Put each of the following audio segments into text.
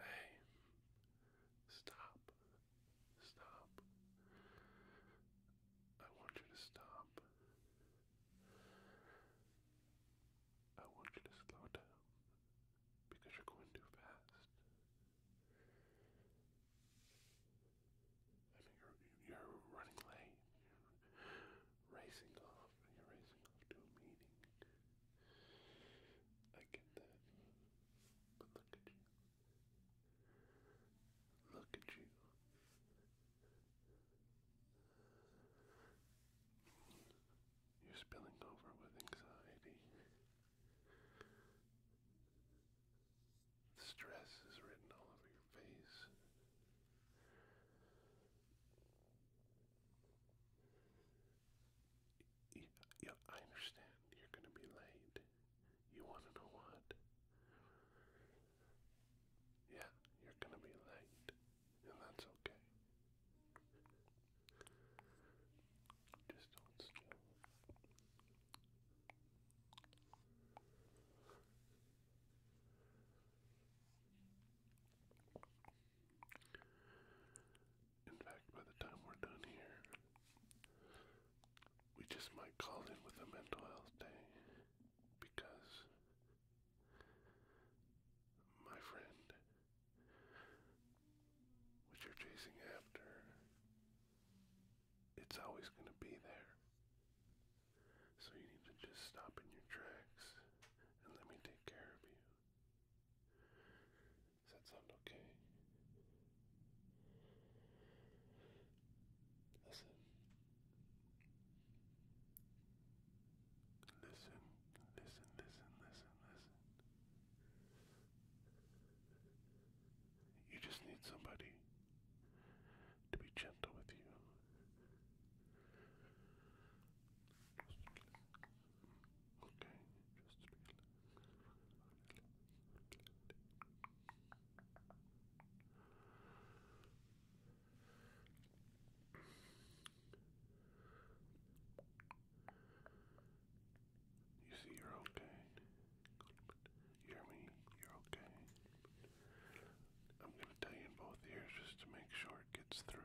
Hey, stop. Stop. I want you to stop. I want you to slow down because you're going too fast. I mean, you're running late. You're racing off. You're racing off to a meeting. I get that. But look at you. Look at you. You're spilling over with anxiety. stress is written all over your face you, I understand you're going to be late. You want to know what? Yeah, you're going to be late, and that's okay. Just hold still. In fact, by the time we're done here, we just might call in with a mental health day because my friend, what you're chasing after, it's always going to be there. So you need to just stop in your tracks and let me take care of you. Does that sound okay? Listen. Listen, listen, listen, listen, You just need somebody to be gentle with you. Okay, You see, you're okay. hear me? You're okay. I'm going to tell you in both ears just to make sure it gets through.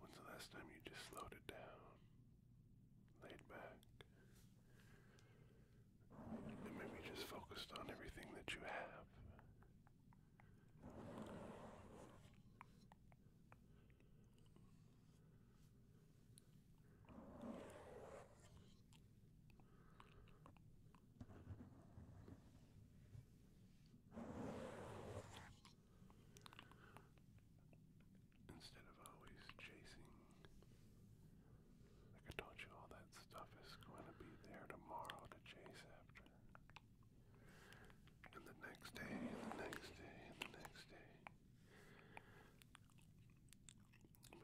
When's the last time you just slowed it down, laid back, and maybe just focused on everything that you have? Instead of always chasing, like I told you, all that stuff is going to be there tomorrow to chase after. And the next day, and the next day, and the next day. But you see,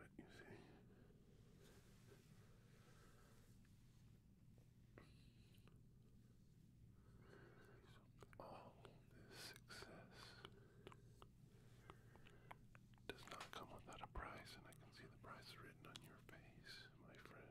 all this success does not come without a price, and I can see the price written on your face, my friend.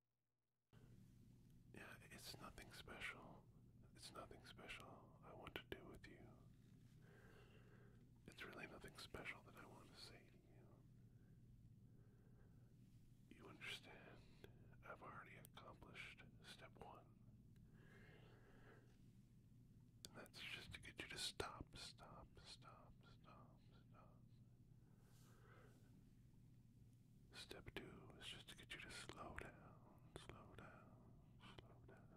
Yeah, it's nothing special. It's nothing special I want to do with you. It's really nothing special that I want to say to you. You understand, I've already accomplished step one. that's just to get you to stop, stop, stop, stop, stop. Step two is just to get you to slow down, slow down, slow down.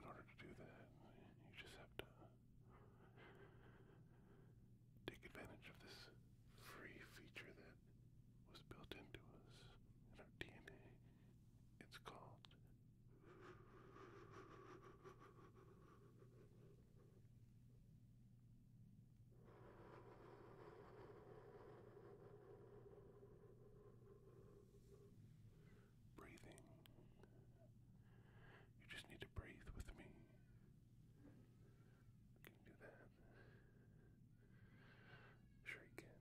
In order to do that, you just have to take advantage of this free feature that was built into us in our DNA. It's called breathing. You just need to breathe with me. You can do that. Sure you can.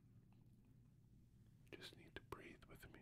Just need to breathe with me.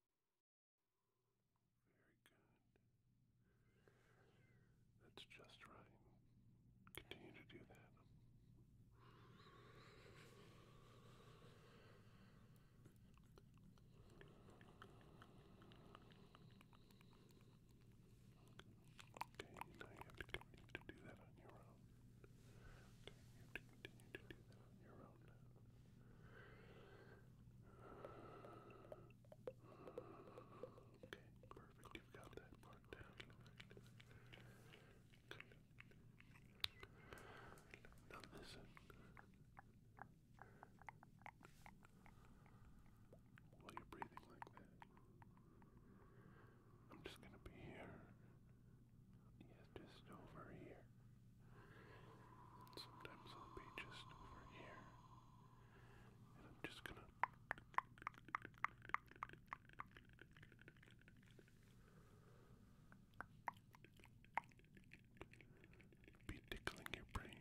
Very good. That's just right. Continue to do that. Okay, now you have to continue to do that on your own. Okay, you continue to do that on your own Okay, perfect. You've got that part down. Good. Now listen. While you're breathing like that, I'm just gonna be here yeah, just over here. Sometimes I'll be just over here. And I'm just gonna. Be tickling your brain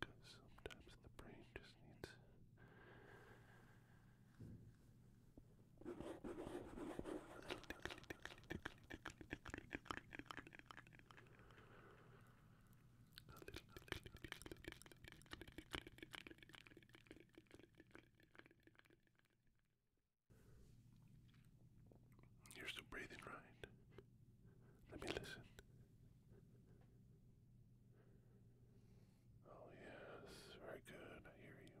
because sometimes the brain just needs a little tickly, tickly, tickly, tickly, tickly, tickly, tickly. A little tickly, tickly, tickly, tickly, tickly, tickly, tickly. You're still breathing right. Let me listen. Oh, yes, very good. I hear you.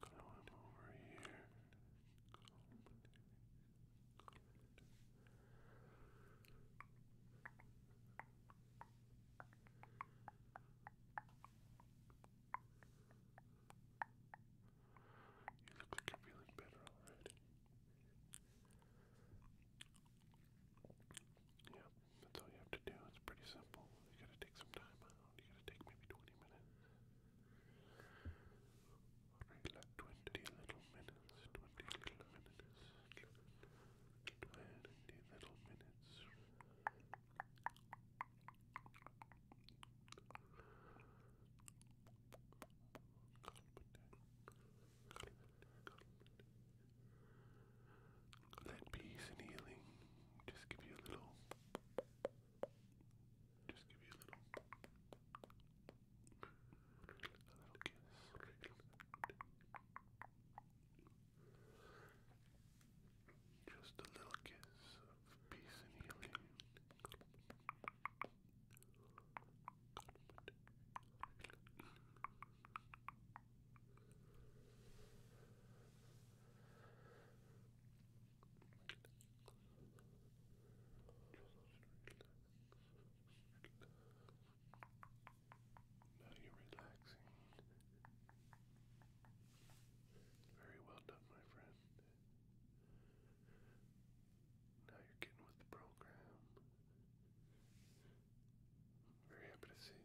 Climb over here. You look like you're feeling better already. Yeah, that's all you have to do. It's pretty simple. You gotta take some time out. You gotta take maybe 20 minutes. Relax, 20 little minutes, 20 little minutes, 20 little minutes. Let peace and healing just give you a little just give you a little, a little kiss. Just a little kiss of peace and healing. Now you're relaxing. Very well done, my friend. Now you're getting with the program. Very happy to see.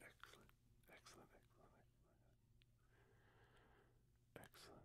Excellent, excellent, excellent, excellent. Excellent.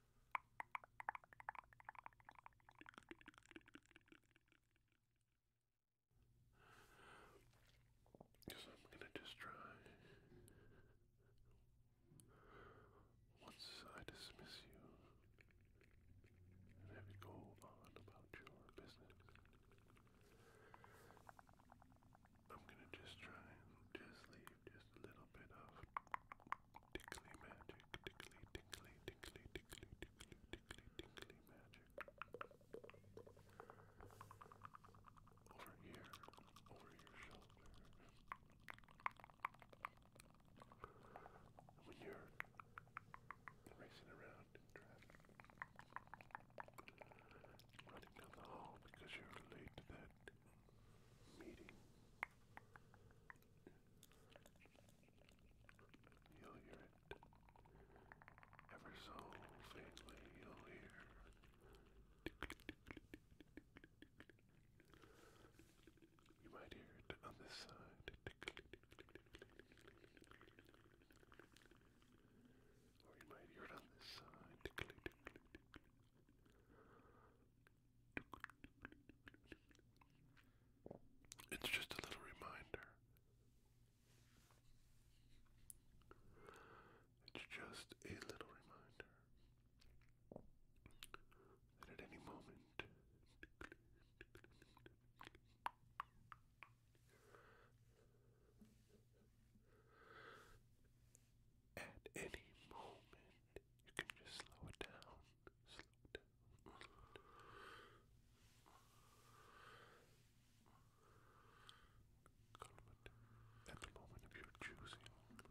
Because I'm going to just try. Once I dismiss you and have you go on about your business, I'm going to just try and just leave just a little bit of Tickly magic, tickly, tickly, tickly, tickly, tickly, tickly, tickly magic. Over here, over your shoulder. And when you racing around running down the hall because you're late to that meeting, You'll hear it. Ever so faintly, you'll hear. You might hear it on this side. Or you might hear it on this side. It's just a little reminder. It's just a little reminder at any moment at any moment you can just slow it down. Slow it down. At the moment of your choosing. You can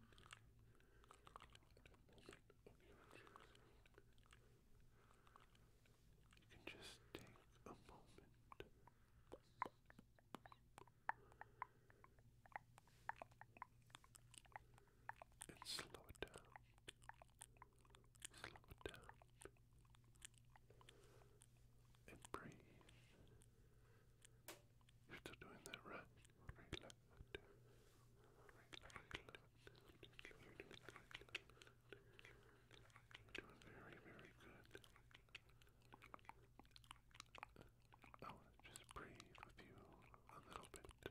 just take a moment and slow it down. Slow it down. And breathe. You're doing that right. doing very, very good. I want just breathe with you a little bit.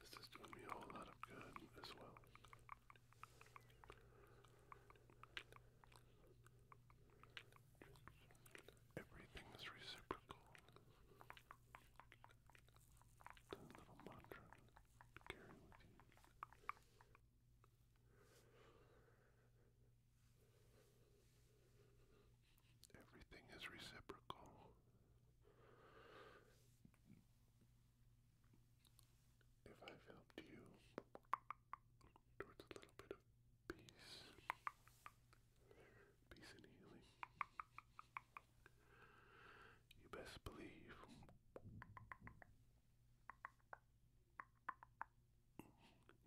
This is doing me a whole lot of good as well. Everything is reciprocal. little mantra carry with you. Everything is reciprocal. If I've helped you towards a little bit of peace, peace and healing, you best believe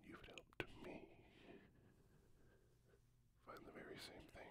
you've helped me find the very same thing.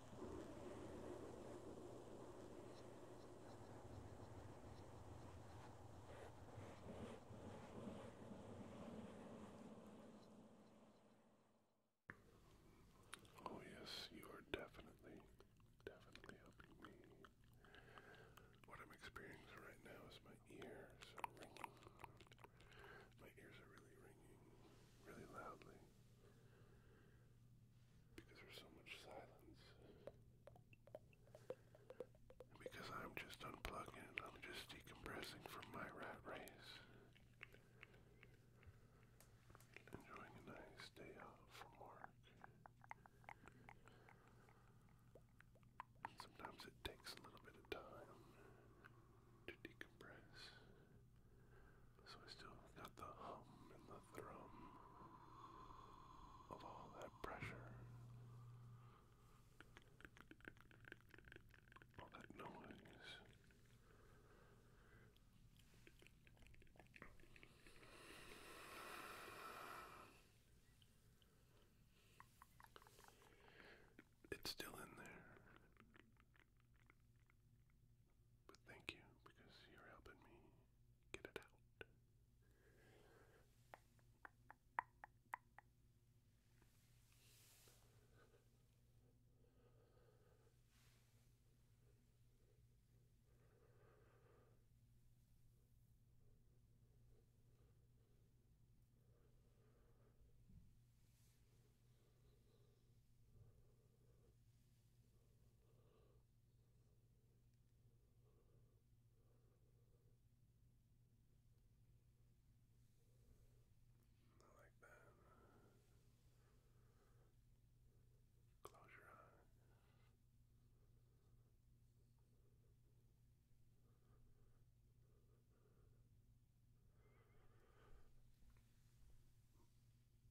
Oh, yes, you are definitely, definitely helping me. What I'm experiencing right now is my ears ringing. My ears are really ringing, really loudly because there's so much silence. because I'm just unplugging I'm just decompressing from my rat race. Enjoying a nice day off from work. sometimes it takes a little bit of time to decompress. So I still got the hum and the thrum of all that pressure. All that noise. It's still in there. But thank you because you're helping me get it out. I like that. Close your eyes.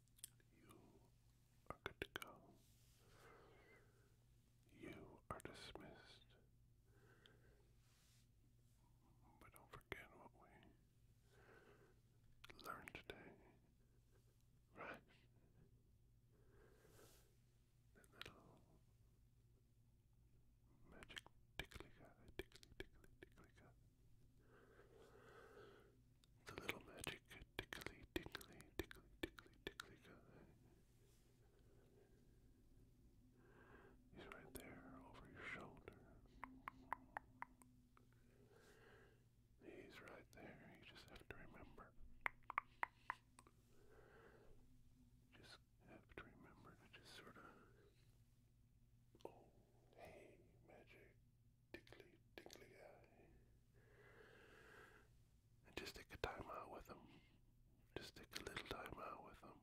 You are good to go. You are dismissed. But don't forget what we learned today, right? That little magic tickly tickly, tickly, tickly the little magic tickly, tickly, tickly, tickly, tickly guy. He's right there over your shoulder. He's right there. You just have to remember. Just have to remember to just sort of. Oh, hey, magic tickly, tickly guy. And just take a time out with them. Just take a little time out with him.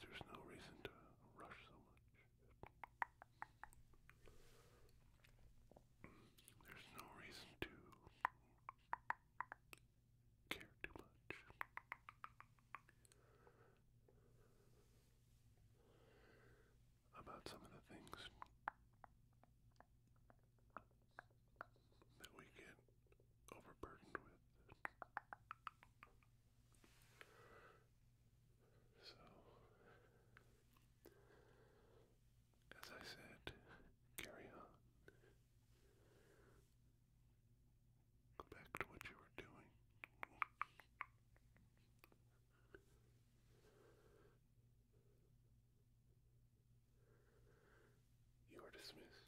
there's no reason to rush so much. There's no reason to care too much about some of the things that we get overburdened with. So, as I said, carry on. Go back to what you were doing. You are dismissed.